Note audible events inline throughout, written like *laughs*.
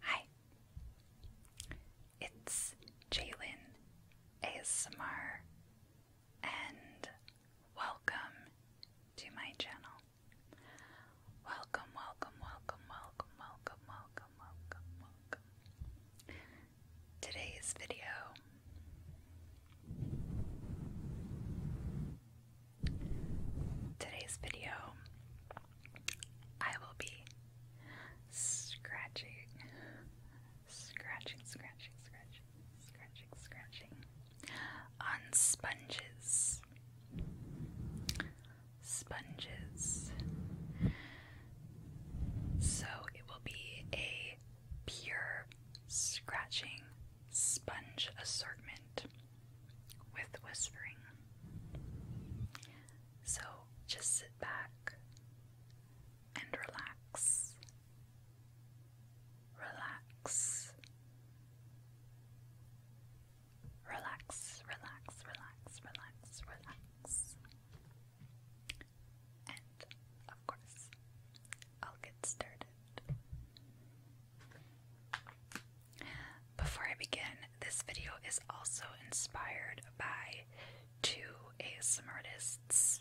Hi, it's Jalen ASMR, and welcome to my channel. Welcome, welcome, welcome, welcome, welcome, welcome, welcome, welcome. Today's video Today's video, I will be scratching, scratching, scratching, scratching, scratching, scratching on sponges. Sponges. So it will be a pure scratching sponge assortment with whispering. So just sit back and relax. Relax. Relax, relax, relax, relax, relax. And of course, I'll get started before I begin, this video is also inspired by two ASM artists.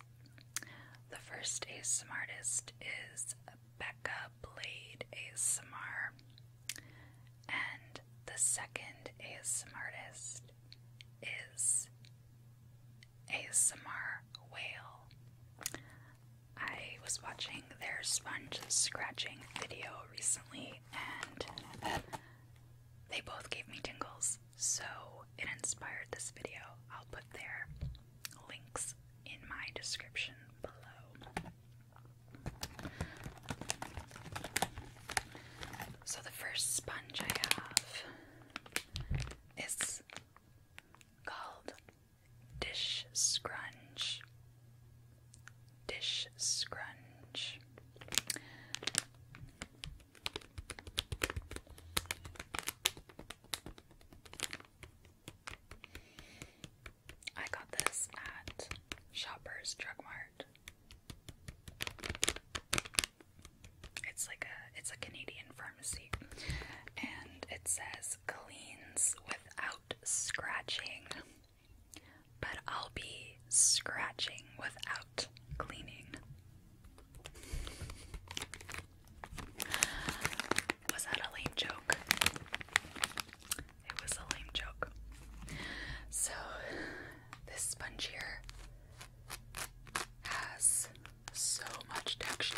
The first ASM artist is Becca Blade ASMR, and the second ASM artist is ASMR Whale. I was watching their sponge scratching video recently and they both gave me tingles, so it inspired this video. I'll put their links in my description below. So, the first sponge I have is called dish scrunch, dish scrunch. I got this at Shoppers Drug Mart. It's like a it's a Canadian pharmacy and it says cleans without scratching, but I'll be scratching without cleaning. Was that a lame joke? It was a lame joke. So, this sponge here has so much texture.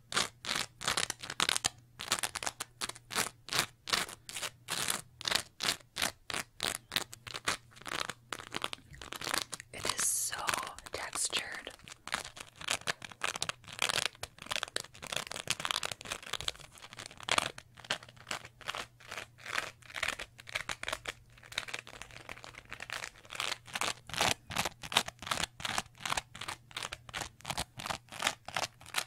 It is so textured.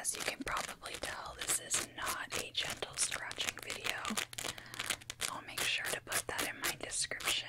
As you can probably tell, this is not a gentle scratching video. I'll make sure to put that in my description.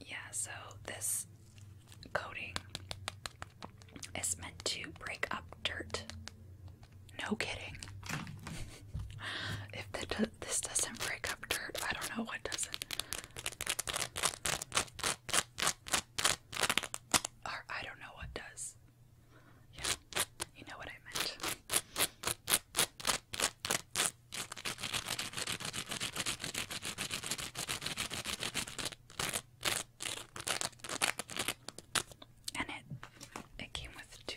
Yeah, so this coating is meant to break up dirt. No kidding. if this doesn't break up dirt, I don't know what doesn't. Or I don't know what does. Yeah, you know what I meant. And it it came with two.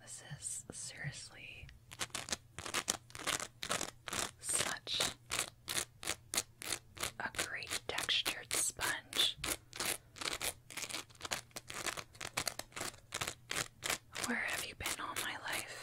This is seriously such a great textured sponge. Where have you been all my life?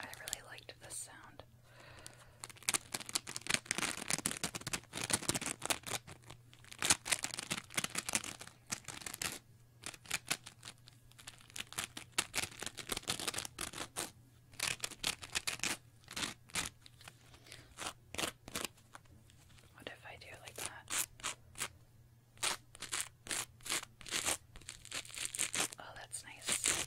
I really liked this sound. What if I do like that? Oh, that's nice.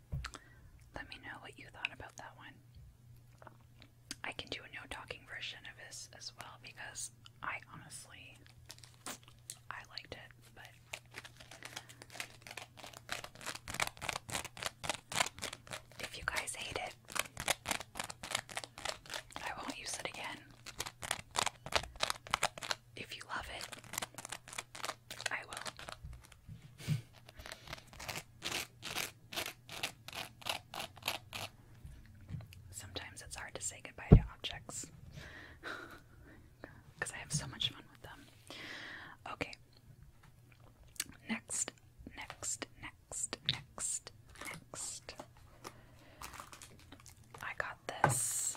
Let me know what you thought about that one. I can do a no talking version of this as well because I honestly I liked it, but if you guys hate it, I won't use it again. If you love it, I will. Sometimes it's hard to say goodbye to objects because *laughs* I have so much fun with them. Okay. Next, next, next, next, next. I got this.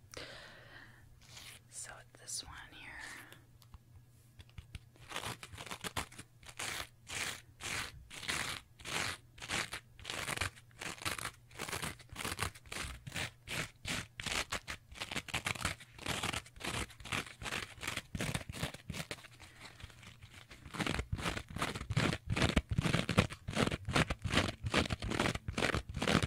it. So this one here.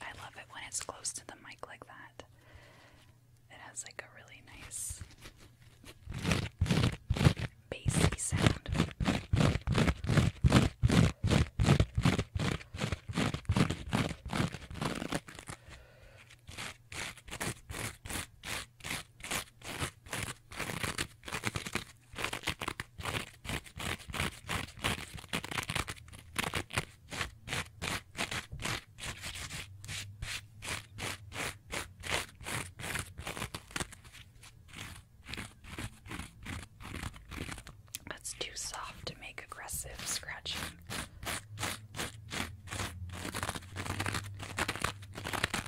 I love it when it's close to the mic like that. It has like a really nice bassy sound. That's too soft to make aggressive scratching.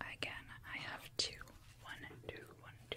Again, I have two. One, two, one, two.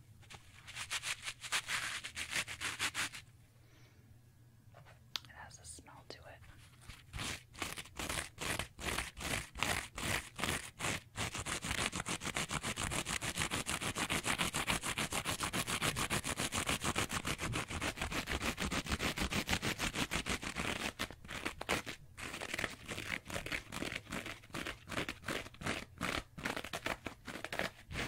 It has a smell to it.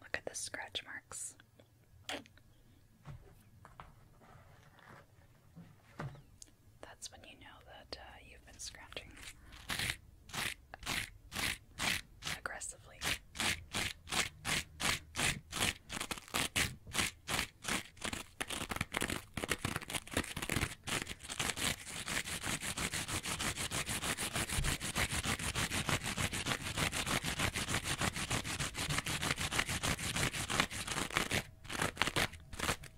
Look at the scratch marks. That's when you know that uh, you've been scratching aggressively.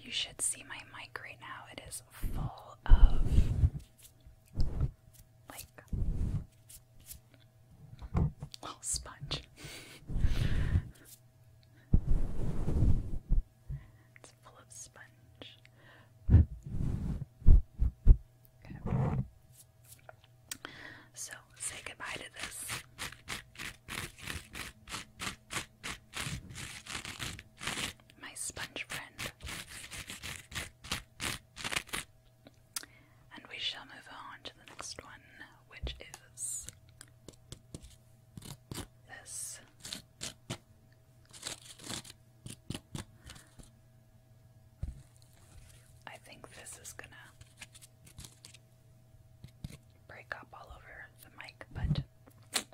You should see my mic right now. It is full of like little sponge. *laughs* it's full of sponge. Okay. So say goodbye to this my sponge friend. And we shall move on to the next one, which is this. I think this is gonna break up all over the mic, but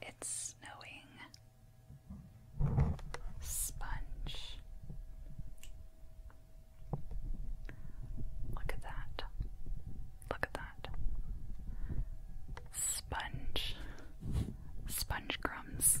It's snowing. Sponge. Look at that. Look at that. Sponge. Sponge crumbs.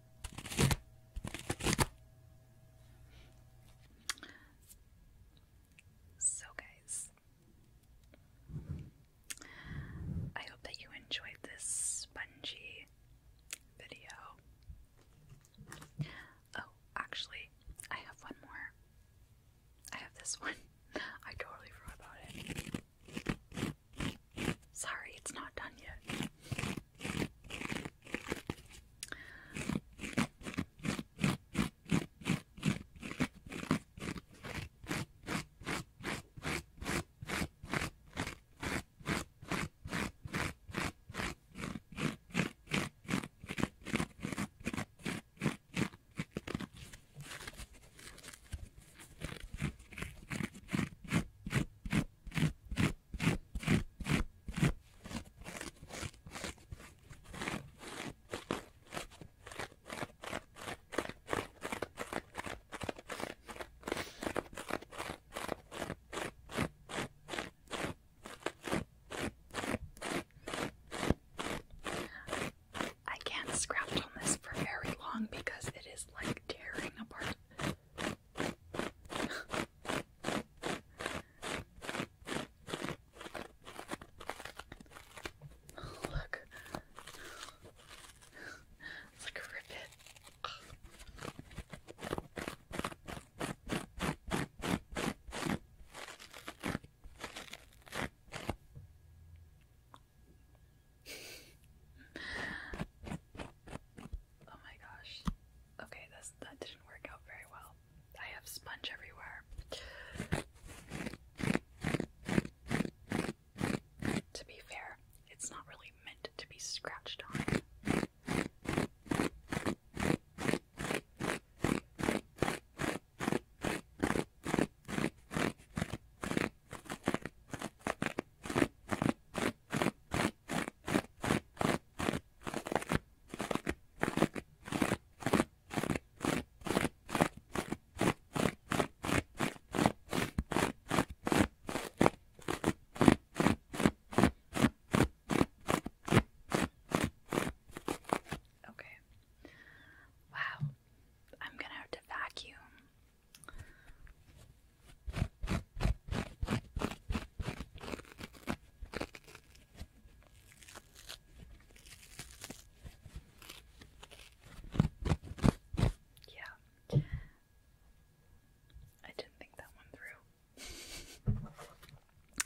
So, guys, I hope that you enjoyed this spongy video. Oh, actually, I have one more. I have this one. *laughs* I totally forgot about it. Sorry, it's not done yet. I can't scrap on this for very long because it is like tearing apart Look. It's like a ribbit oh my gosh. Okay, this that didn't work out very well. I have sponge everywhere. To be fair, it's not really meant to be scratched on. Okay. Wow. I'm going to have to vacuum yeah. I didn't think that one through.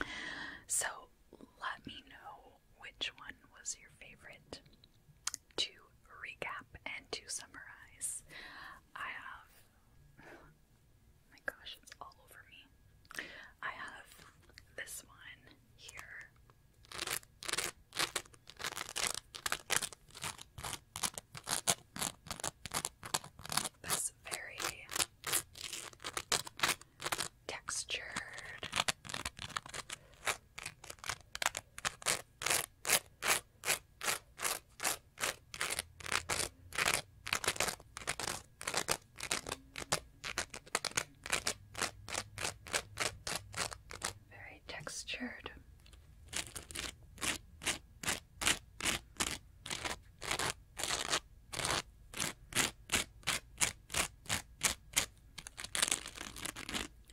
*laughs* so, let me know which one was your favorite to recap and to summarize, I have. *sighs* my gosh, it's all over me. I have this one here. This very textured. Very textured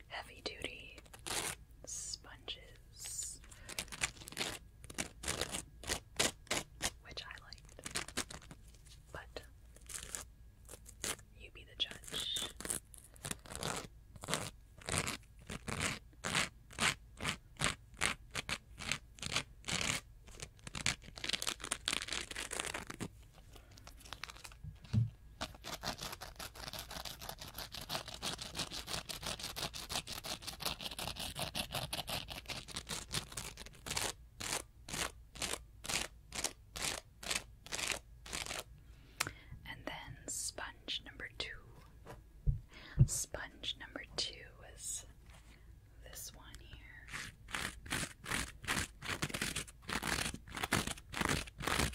heavy duty sponges, which I liked. But you be the judge. And then sponge number two. Sponge number two is this one here.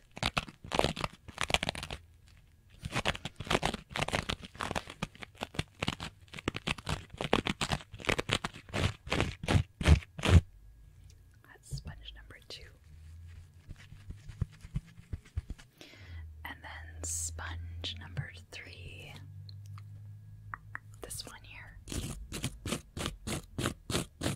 That's sponge number two. And then sponge number three. This one here.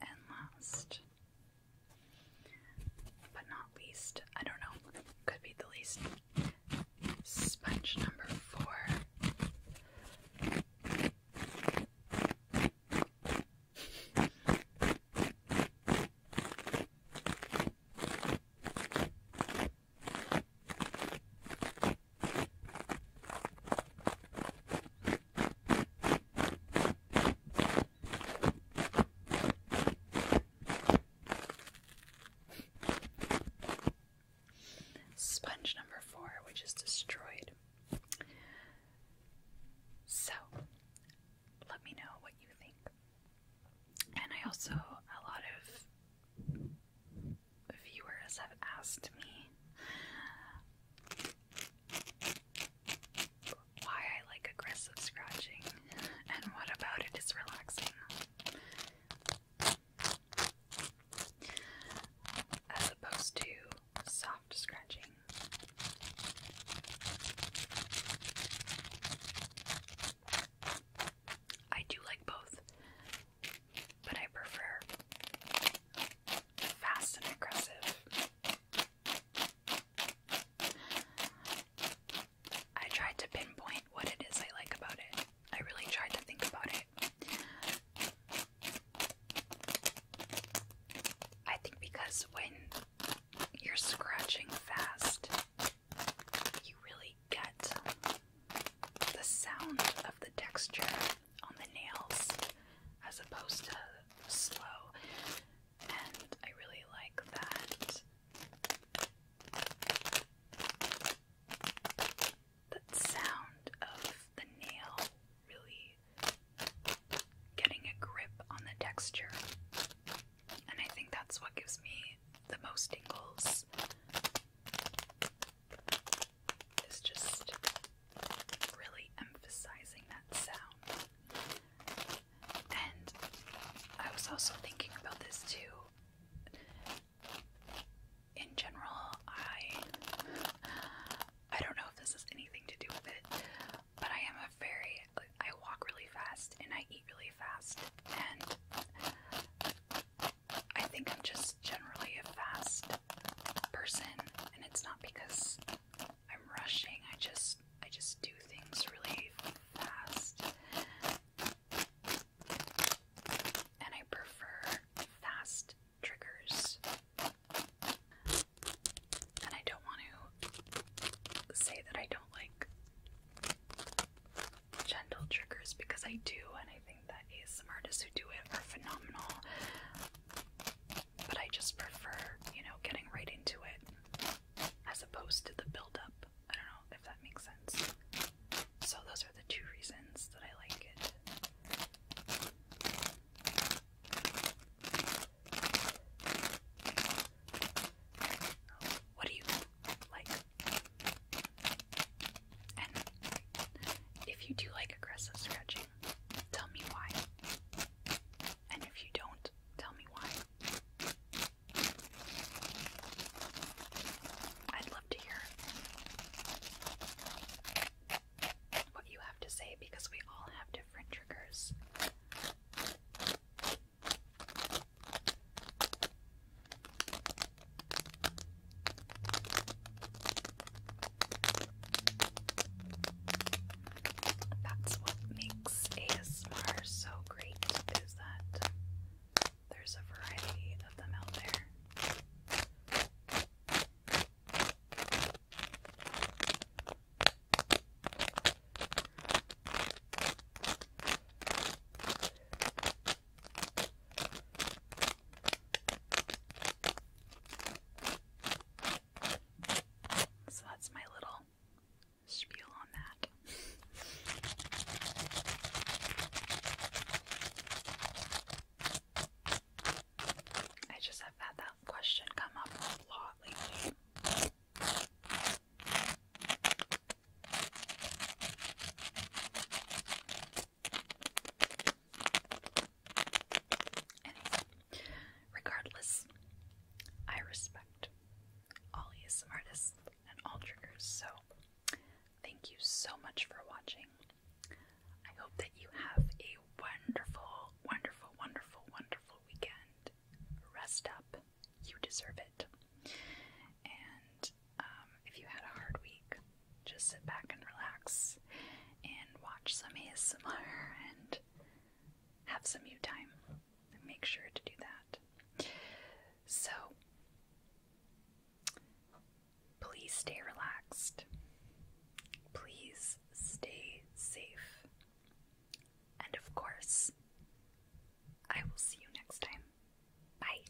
And last but not least, I don't know, could be the least, sponge number four. Sponge number four, which is destroyed. So, let me know what you think. And I also, a lot of viewers have asked me why I like aggressive scratching and what about it is relaxing. As opposed to soft scratching. I do like both, but I prefer fast and aggressive. I tried to pinpoint what it is I like about it. I really tried to think about it. I think because when you're scratching fast, you really get the sound of the texture on the nails as opposed to slow. And I really like that. That sound of the nail really getting a grip on the texture. And I think that's what gives me the most tingles is just really emphasizing that sound. And I was also thinking about this too. In general, I I don't know if this has anything to do with it, but I am a very I walk really fast and I eat really fast and I think I'm just generally a fast person and it's not because I'm rushing. I just I just do things really fast. And I prefer fast triggers. And I don't want to say that I don't like gentle triggers because I do and I think that artists who do it are phenomenal, but I just prefer, you know, getting right into it as opposed to the build up. I don't know if that makes sense. So, those are the two reasons that I like it. What do you like? And if you do like aggressive scratching, Tell me why. And if you don't, tell me why. I'd love to hear what you have to say because we all have different triggers. That's what makes ASMR so great is that there's a variety of them out there. So that's my little spiel on that. I just have had that question come up a lot lately regardless, I respect all ESM artists and all triggers, so thank you so much for watching. I hope that you have a wonderful, wonderful, wonderful, wonderful weekend. Rest up. You deserve it. And um, if you had a hard week, just sit back and relax and watch some ASMR and have some you time. And make sure to do that. So, please stay relaxed. Please stay safe. And of course, I will see you next time. Bye.